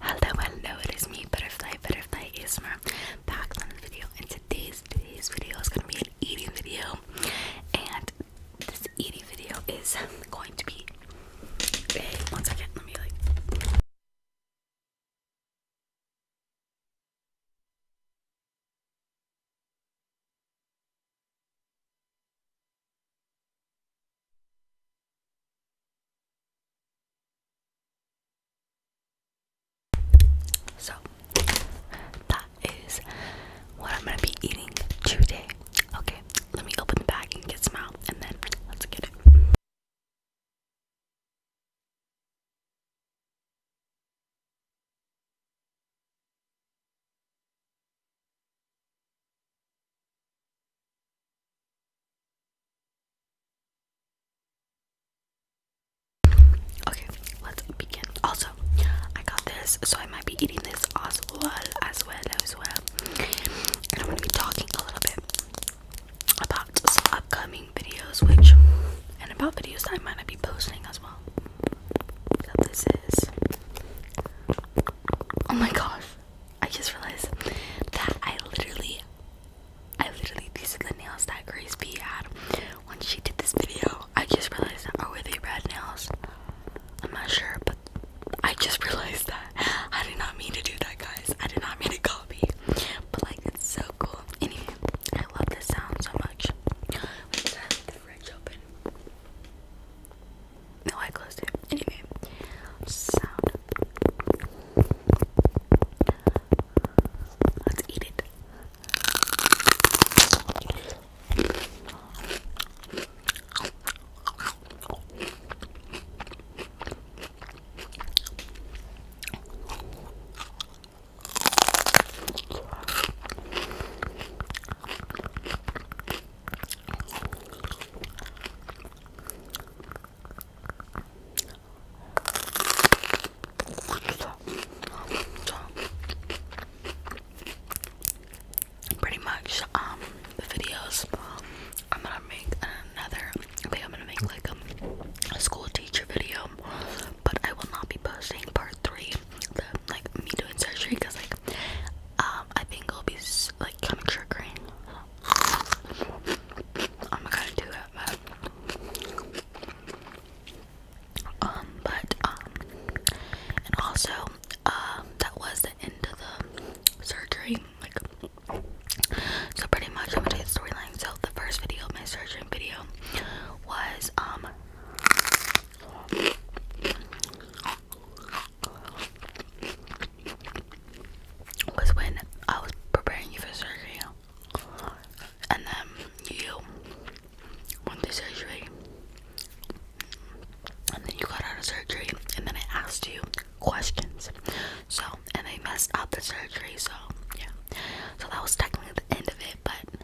Hello, hello, it is me, Butterfly, Butterfly ASMR, back on the video, and today's, today's video is going to be an eating video, and this eating video is going to be, one second, let me like, so that is what I'm gonna be eating today. Okay, let me open the bag and get some out, and then let's get it. Okay, let's begin. Also, I got this, so I might be eating this as well, as well, as well. And I'm gonna be talking a little bit about some upcoming videos, which, and about videos that I might be posting as well. So this is Oh my gosh. I just realized that I literally I literally these are the nails that Grace B had when she did this video. I just realized that oh, are they red nails? I'm not sure, but I just realized that. I did not mean to do that guys. I did not mean to copy. But like it's so cool. Anyway, I love this sound so much. the fridge open? No, I closed it. Anyway, Let's eat it pretty much, um, the videos I'm gonna make another. Okay, I'm gonna make like a school teacher video, but I will not be posting part three like me doing surgery because like um I think it'll be like kind of I'm gonna do that, um, but um, and also um, that was the end of the surgery. Like, so pretty much I'm gonna do the storyline. So the first video, my surgery video, was um was when I was preparing you for surgery, and then you went to surgery, and then you got out of surgery, and then I asked you questions, so and I messed up the surgery, so yeah, so that was technically the end of it, but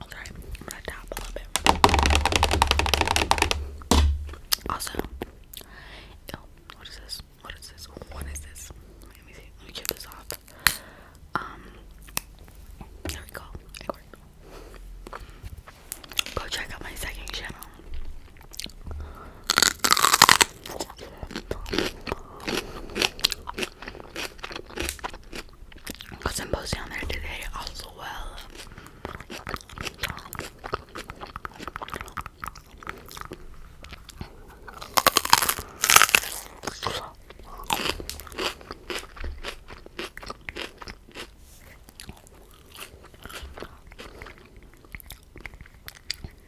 Okay, I'm gonna tap a little bit. Also, ew, what is this? What is this? What is this? Let me see. Let me get this off. Um, It worked. Go check out my second channel. Got some posts down there today as well.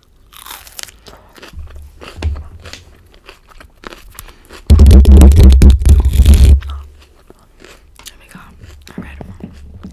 There we go. I read them. Oh, oh.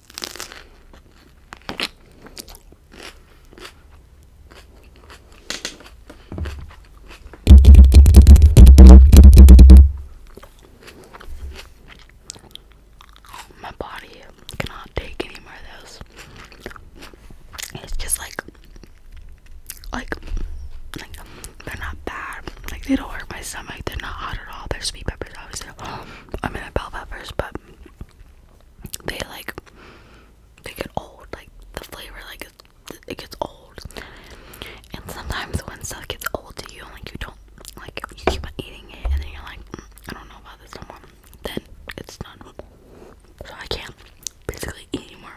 My body cannot take any more of those. It's just like, like, like. They're not bad. Like they don't hurt my stomach. They're not hot at all. They're sweet peppers, obviously. I mean, I bell peppers, but they like they get old. Like the flavor, like it, gets old. And sometimes when stuff gets old to you, like you don't like you keep on eating it, and then you're like, mm, I don't know about this anymore. Then it's not normal. So I can't basically eat anymore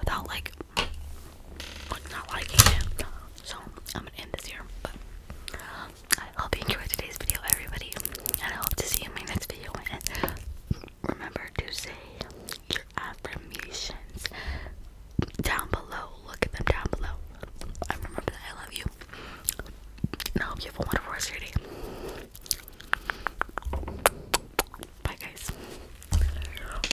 without like not liking it. So I'm gonna end this here. But I hope you enjoyed today's video, everybody, and I hope to see you in my next video. And remember to say your affirmations down below. Look at them down below. I remember that I love you. And I hope you have a wonderful rest of your day. Bye, guys.